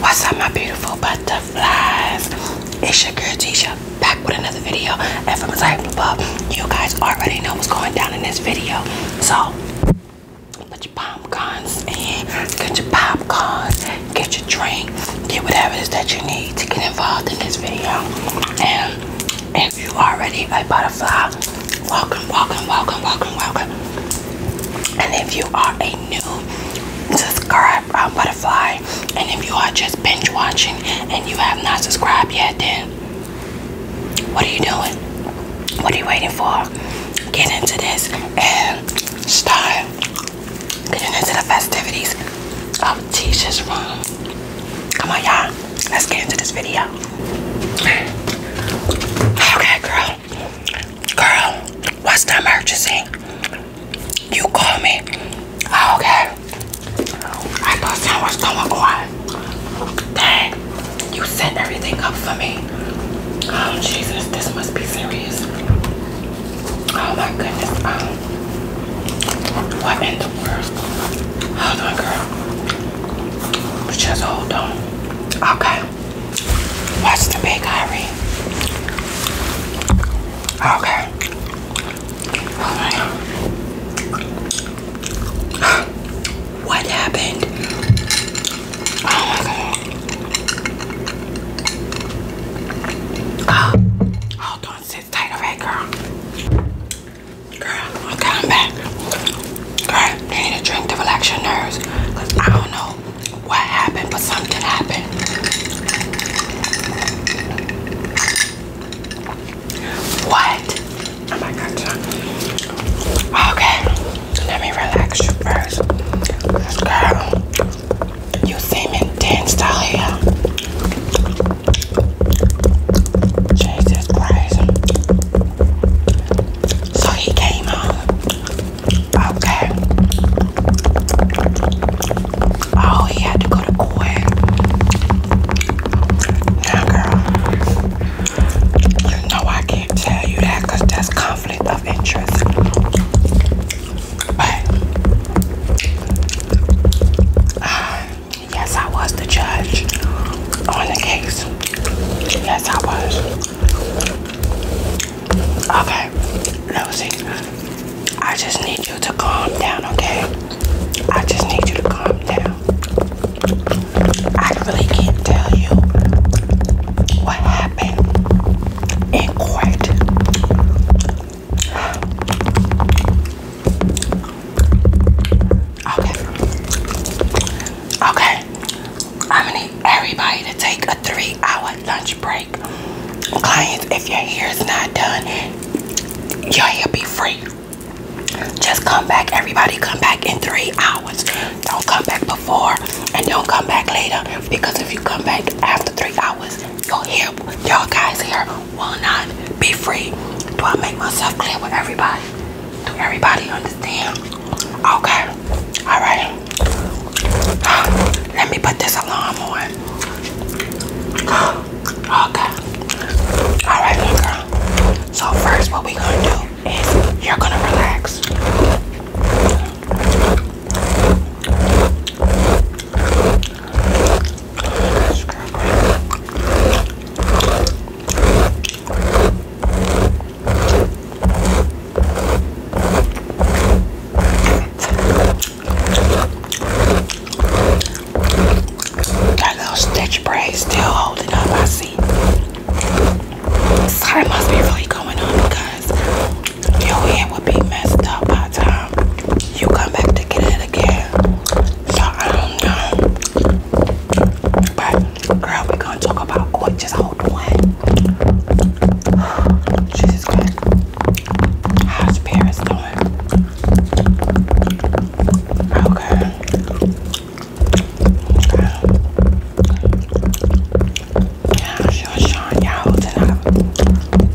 What's up, my beautiful butterflies? It's your girl Tisha back with another video. And from the title above, you guys already know what's going down in this video. So, put your popcorns in, get your popcorns, get your drink, get whatever it is that you need to get involved in this video. And if you are already a butterfly, welcome, welcome, welcome, welcome, welcome. And if you are a new subscribe uh, butterfly, and if you are just binge watching and you have not subscribed yet, then what are you doing? What are you waiting for? Get into this and start getting into the festivities of Tisha's room. Come on, y'all. Let's get into this video. Okay, girl. Girl, what's the emergency? You call me. Ah, okay. I thought something was going on. Dang, you set everything up for me. Oh, Jesus, this must be serious. Oh, my goodness. Um, what Hold on, girl. Just hold on. Okay. Watch the big Irie. Okay. What happened? Oh my god. Oh, hold on, sit tight, alright, girl. Girl, I'm coming back. Girl, you need a drink to relax your nerves. Cause I don't know what happened, but something happened. What? Oh okay, let me relax you first. Girl, you seem intense, Talia. Jesus Christ. So he came home. Okay. Oh, he had to go to court. Now, girl, you know I can't tell you that because conflict of interest. But, uh, Yes, I was the judge on the case. Yes, I was. Okay, Lucy, I just need you to calm down, okay? I just need you to calm down. I really can't tell you what happened in court. Okay. Okay. I'm gonna need everybody to take a three-hour lunch break. Clients, if your hair is not done, your hair be free. Just come back. Everybody come back in three hours. Don't come back before and don't come back later. Because if you come back after three hours, your hair, y'all guys' hair will not be free. Do I make myself clear with everybody? Do everybody understand? Okay. Alright. Let me put this alarm on. Okay. Alright, girl. So first what we're gonna do is you're gonna relax. That little stitch braid still holding up, I see. Something must be really going on because your head would be messed up by the you come back to get it again. So I don't know. But girl, we gonna talk about court. Just hold on. Jesus Christ. How's Paris doing? Okay. Okay. Yeah, Sean. Y'all up.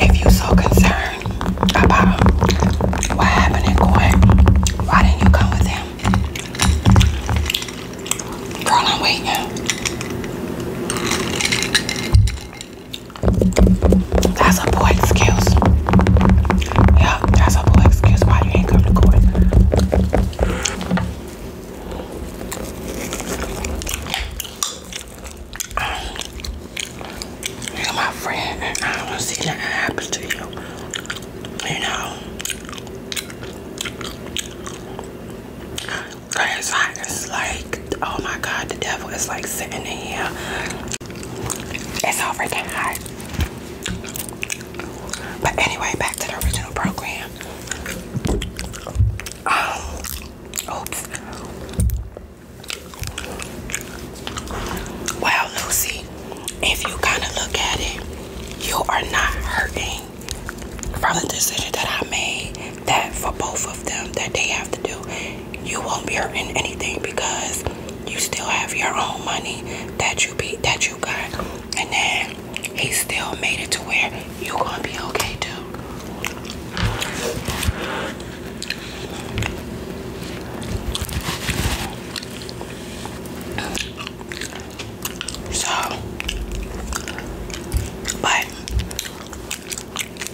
if you're so concerned about what happened in court, why didn't you come with him? Girl, I'm waiting. That's a boy excuse. Yeah, that's a boy excuse why you ain't come to court. You're my friend, I don't want to see nothing happen to you. You know. It's I is like, oh my god, the devil is like sitting in here. It's all freaking hot. But anyway, back to the original program. Um, oops. Well, Lucy, if you kind of look at it, you are not hurting from the decision that I made that for both of them that they have to do, you won't be hurting anything because you still have your own money that you be that you got, and then he still made it to where you gonna be okay too. So, but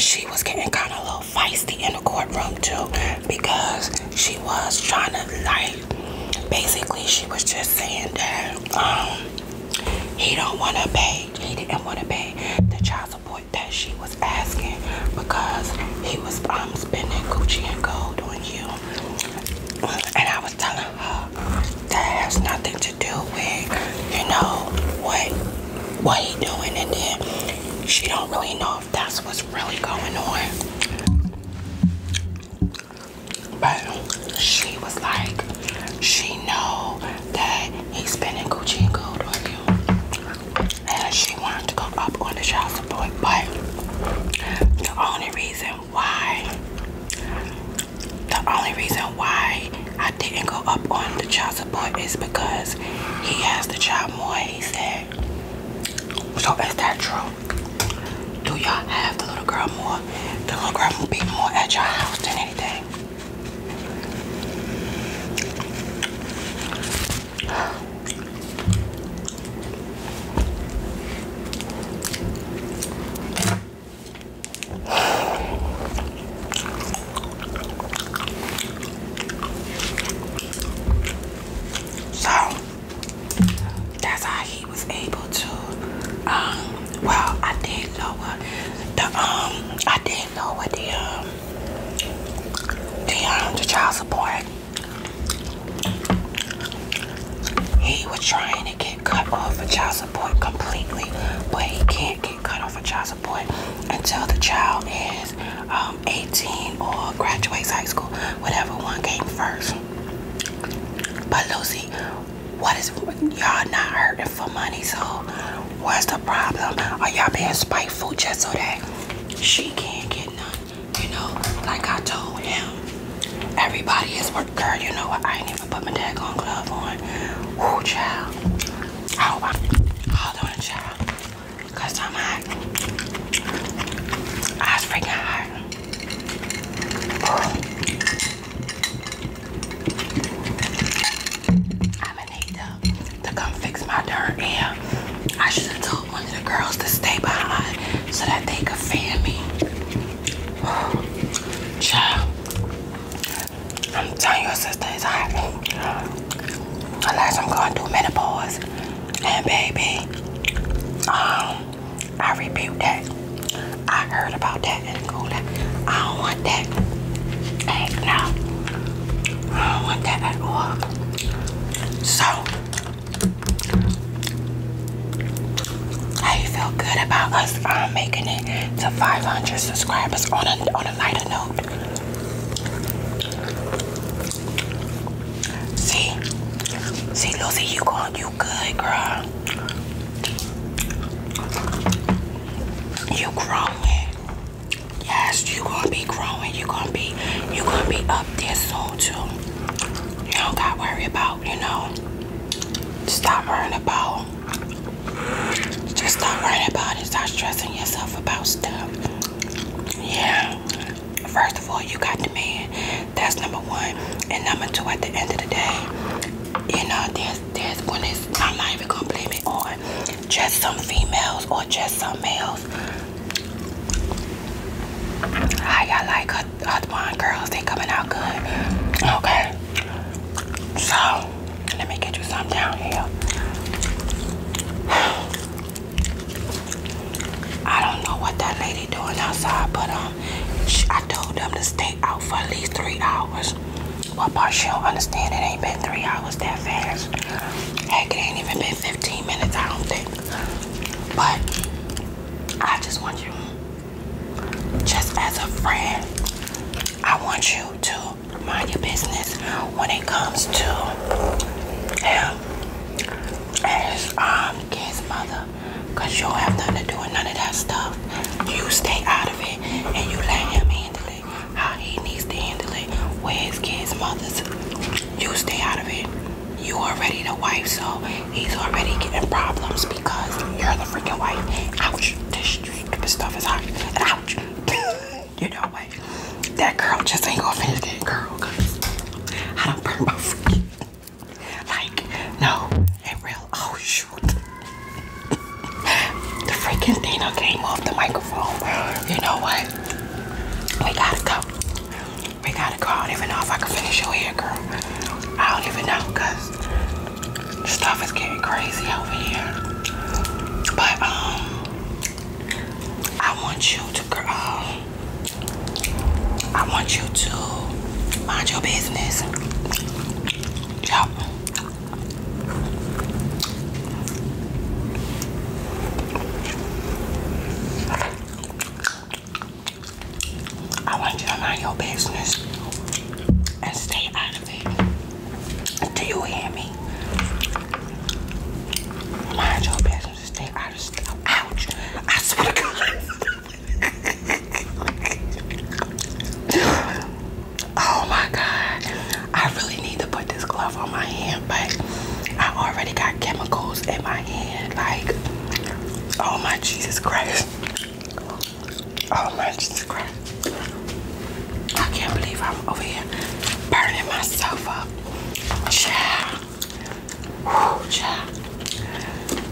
she was getting kind of a little feisty in the courtroom too because she was trying to like basically she was just saying that um he don't want to pay he didn't want to pay the child support that she was asking because he was um spending gucci and gold on you and i was telling her that has nothing to do with, you know, what what he doing and then she don't really know if that's what's really going on. But she was like, she know that he's spending Gucci and gold on you. And she wanted to go up on the child support, but the only reason why the only reason why I didn't go up on the child support is because he has the child more, he said. So is that true? Do y'all have the little girl more? The little girl will be more at your house than anything. So that's how he was able to um well I did lower the um I did lower the um the um the child support. He was trying to get cut off a child support completely, but he can't get cut off a child support until the child is um, 18 or graduates high school, whatever one came first. But Lucy, what is y'all not hurting for money? So what's the problem? Are y'all being spiteful just so that she can't get none? You know, like I told him, Everybody is working. you know what? I ain't even put my daggone glove on. Ooh, child. Oh, I hope I'm hold on, child. Cause I'm hot. I was freaking hot. I'm gonna to come fix my dirt. Yeah. I should have told one of the girls to stay behind so that they could fan me. Child, I'm telling your sister it's hot. Unless I'm going through menopause. And baby, um, I rebuke that. I heard about that in the cooler. I don't want that. Hey, no. I don't want that at all. So, I you feel good about us um, making it to 500 subscribers on a, on a lighter note? See, see, Lucy, you going, you good, girl. You growing? Yes, you going be growing. You going be, you going be up there soon you don't gotta worry about, you know. Stop worrying about just stop worrying about it. Stop stressing yourself about stuff. Yeah. First of all, you got the man. That's number one. And number two, at the end of the day, you know, there's there's when it's I'm not even gonna blame it on just some females or just some males. How like her Hotbond girls, they coming out good. Okay. So, let me get you some down here. I don't know what that lady doing outside, but um, I told them to stay out for at least three hours. Well, part she don't understand it ain't been three hours that fast. Heck, it ain't even been 15 minutes, I don't think. But I just want you, just as a friend, I want you to mind your business when it comes to him as um, his kid's mother. Because you don't have nothing to do with none of that stuff. You stay out of it and you let him handle it how he needs to handle it with his kid's mother's. You stay out of it you already the wife, so he's already getting problems because you're the freaking wife. Ouch, this stupid stuff is hot. Ouch. you know what? That girl just ain't gonna finish that girl because I don't burn my feet. Like, no, it real. Oh, shoot. the freaking thing came off the microphone. You know what? We gotta go. We gotta go. I don't even know if I can finish your hair, girl. I don't even know because stuff is getting crazy over here. But um, I want you to, girl. Um, I want you to mind your business. Yup. I want you to mind your business and stay out of it. Do you hear me? Mind your business and stay out of stuff. Ouch! I swear to God. oh my God. I really need to put this glove on my hand, but I already got chemicals in my hand. Like, oh my Jesus Christ. Oh my Jesus Christ. I can't believe I'm over here burning myself up. Child. Whew, child.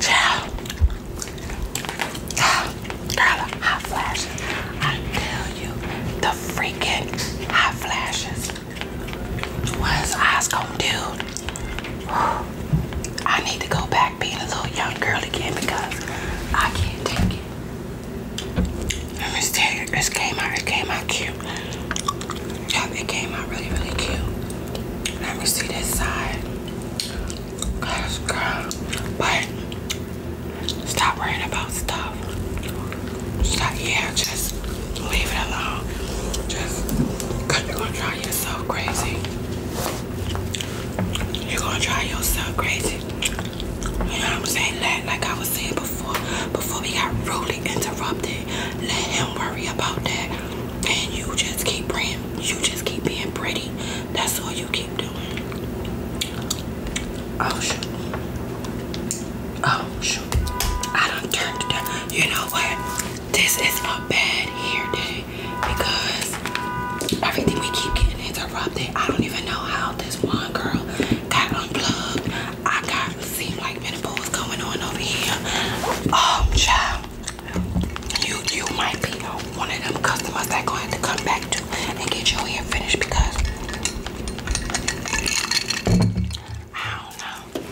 Child. Girl, hot flashes. I tell you, the freaking hot flashes. What is eyes gonna do? I need to go back being a little young girl again because I can't take it. Let me tell you, this came out, it came out cute. Yeah, it came out really, really cute. Let me see this side. Gosh, girl. But stop worrying about stuff. Stop, yeah, just Leave it alone. Just you're going to try yourself crazy. You're going to try yourself crazy. You know what I'm saying? Let, like I was saying before, before we got rudely interrupted, let him worry about that. And you just keep praying. You just keep being pretty. That's all you keep doing. Oh, shoot. Oh, shoot. I done turned it down you know what? This is a bad hair day because everything we keep getting interrupted. I don't even know how this one girl got unplugged. I got seem like many balls going on over here. Oh, child, you you might be one of them customers that gonna have to come back to and get your hair finished because I don't know.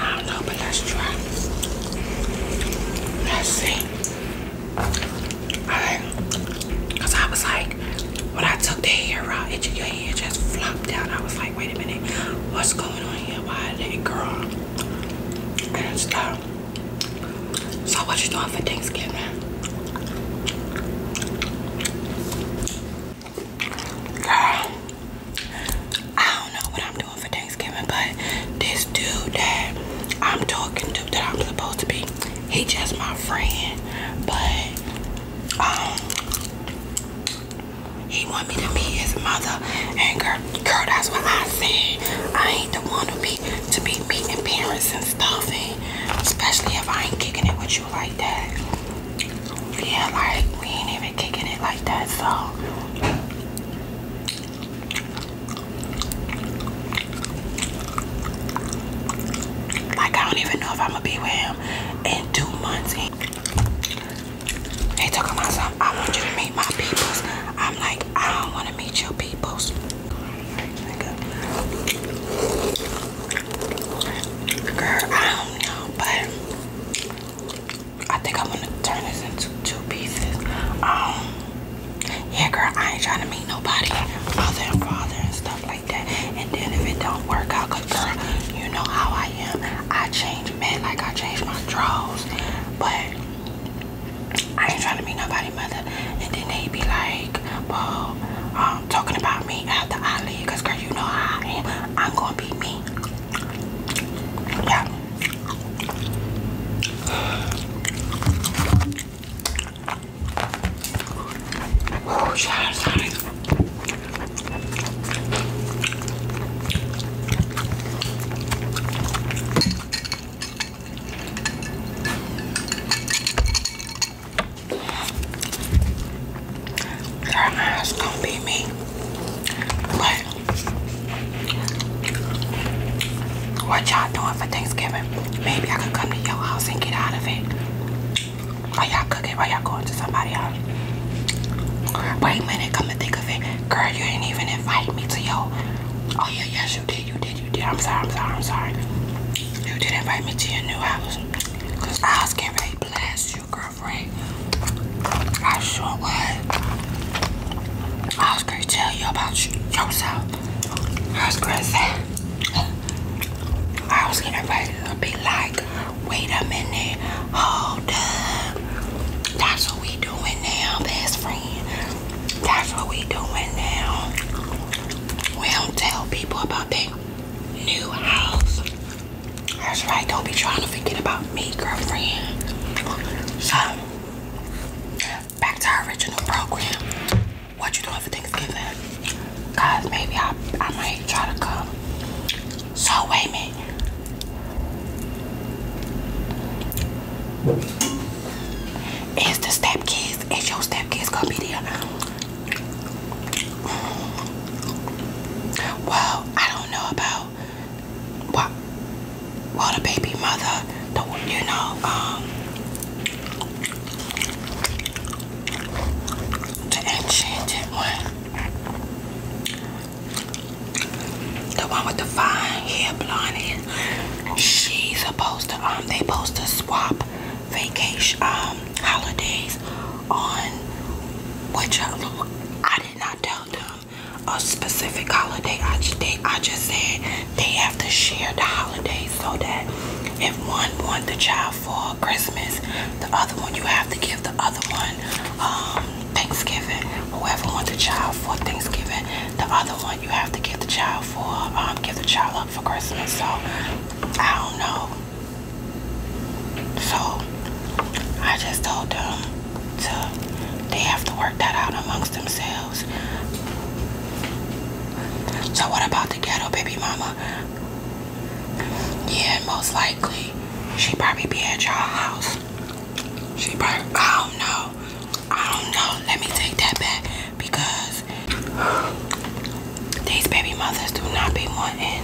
I don't know, but let's try. Let's see. Alright. I was like, when I took the hair out, it your hair just flopped out. I was like, wait a minute, what's going on here? Why that girl? And stuff. So what you doing for Thanksgiving? Girl, I don't know what I'm doing for Thanksgiving, but this dude that I'm talking to that I'm supposed to be, he just my friend. But um he want me to be his mother and girl girl that's what I say. I ain't the one who be to be meeting parents and stuff and especially if I ain't kicking it with you like that. Yeah, like we ain't even kicking it like that, so like I don't even know if I'ma be with him in two months. They talking about something, I want you to meet my peoples. I'm like, I don't wanna meet your peoples. Girl, I don't know, but I think I'm gonna turn this into two pieces. Um, yeah, girl, I ain't trying to meet nobody, mother and father and stuff like that. And then if it don't work out, cause girl, you know how I am. I change men like I change my draws, but. I ain't trying to meet nobody mother and then they be like, well, um, um, talking about me after I leave, cause girl, you know I am. I'm gonna be me. Yeah. Oh, shout out your eyes going be me. But what y'all doing for Thanksgiving? Maybe I could come to your house and get out of it. Or y'all cooking while y'all going to somebody else. Wait a minute, come to think of it. Girl, you did even invite me to your Oh yeah, yes you did, you did, you did. I'm sorry, I'm sorry, I'm sorry. You did invite me to your new house. Cause I was getting ready to blast you, girlfriend. I sure was. I was gonna tell you about you, yourself. I was gonna say, I was getting ready to be like, wait a minute, hold up. That's what we doing now, best friend. That's what we doing now. We don't tell people about that new house. That's right, don't be trying to forget about me, girlfriend. So, back to our original program. What you doing for Thanksgiving? Guys, maybe I, I might try to come. So, wait me. minute. Is the kids? is your stepkids gonna be there? Well, I don't know about what well the baby mother you know um the enchanted one the one with the fine hair blonde she's supposed to um they supposed to swap vacation um, holidays on which uh, I did not tell them a specific holiday. I just I just said they have to share the holidays so that if one wants the child for Christmas, the other one you have to give the other one um, Thanksgiving. Whoever wants the child for Thanksgiving, the other one you have to give the child for um, give the child up for Christmas. So I don't know. So I just told them to they have to work that out amongst themselves. So what about the ghetto baby mama? Yeah, most likely she probably be at y'all house. She probably I don't know. I don't know. Let me take that back because these baby mothers do not be wanting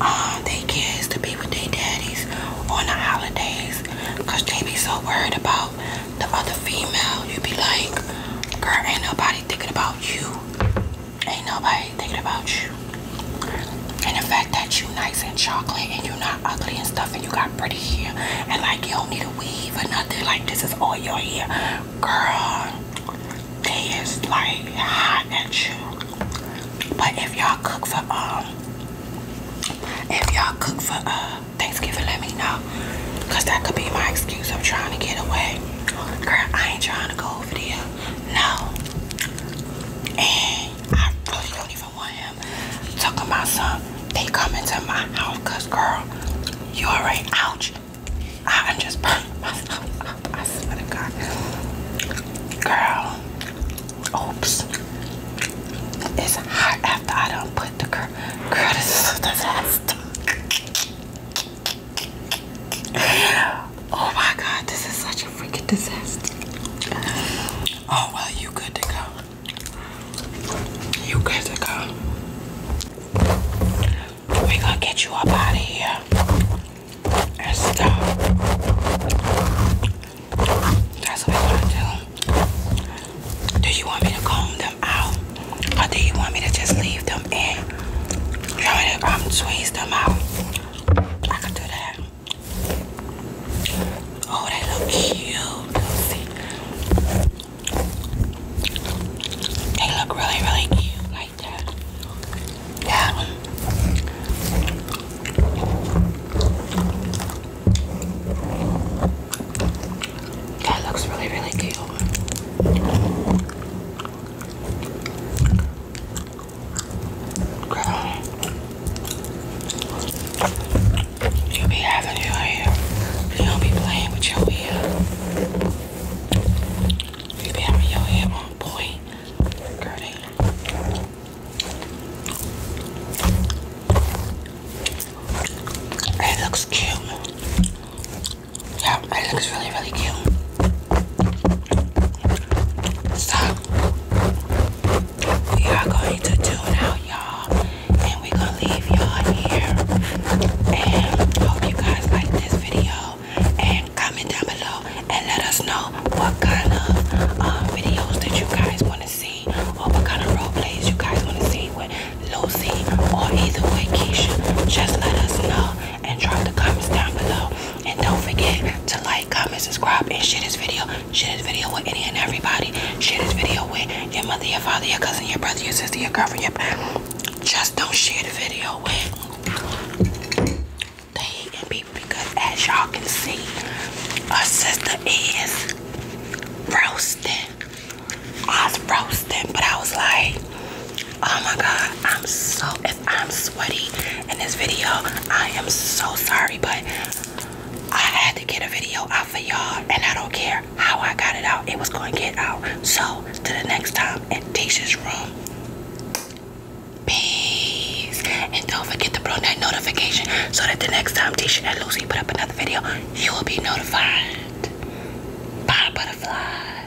um, their kids to be with their daddies on the holidays because they be so worried about the other female. You be like, girl, ain't nobody thinking about you. Ain't nobody thinking about you. And the fact that you nice and chocolate and you not ugly and stuff and you got pretty hair and like you don't need a weave or nothing like this is all your hair. Girl, they like hot at you. But if y'all cook for um if y'all cook for uh Thanksgiving, let me know. Cause that could be my excuse. of trying to get away. Girl, I ain't trying to go over there. No. And I really don't even want him talking about some. They come into my house, cause girl, you already ouch. I'm just I swear to God. Girl. Oops. It's hot after I don't put the girl. Girl, is a disaster. Oh my God, this is such a freaking disaster. Oh well, you good to go. You good to go we gonna get you up out of here and stuff. That's what we gonna do. Do you want me to comb them out, or do you want me to just leave them in? You want me to um, them out? I can do that. Oh, they look cute. They look really, really cute like that. Yeah. That looks really, really cute. Girl, you be having your hair. You do be playing with your hair. You be having your head on point, It looks cute. Yeah, it looks really, really cute. Stop. We are going to do it now, y'all and we're gonna leave y'all here. And hope you guys like this video. And comment down below and let us know what kind of um, videos that you guys want to see or what kind of role plays you guys want to see with Lucy or either way Keisha. Just let us know and drop the comments down below. And don't forget to like, comment, subscribe, and share this video. Share this video with any and everybody. Share this video with your mother, your father, your cousin, your brother, your sister, your girlfriend, your just don't share the video with the hating people because as y'all can see, our sister is roasting. I was roasting, but I was like, oh my god, I'm so, if I'm sweaty in this video, I am so sorry, but I had to get a video out for y'all and I don't care how I got it out, it was going to get out. So, to the next time at Tisha's room. Peace. And don't forget to turn that notification so that the next time Tisha and Lucy put up another video, you will be notified. Bye, butterflies.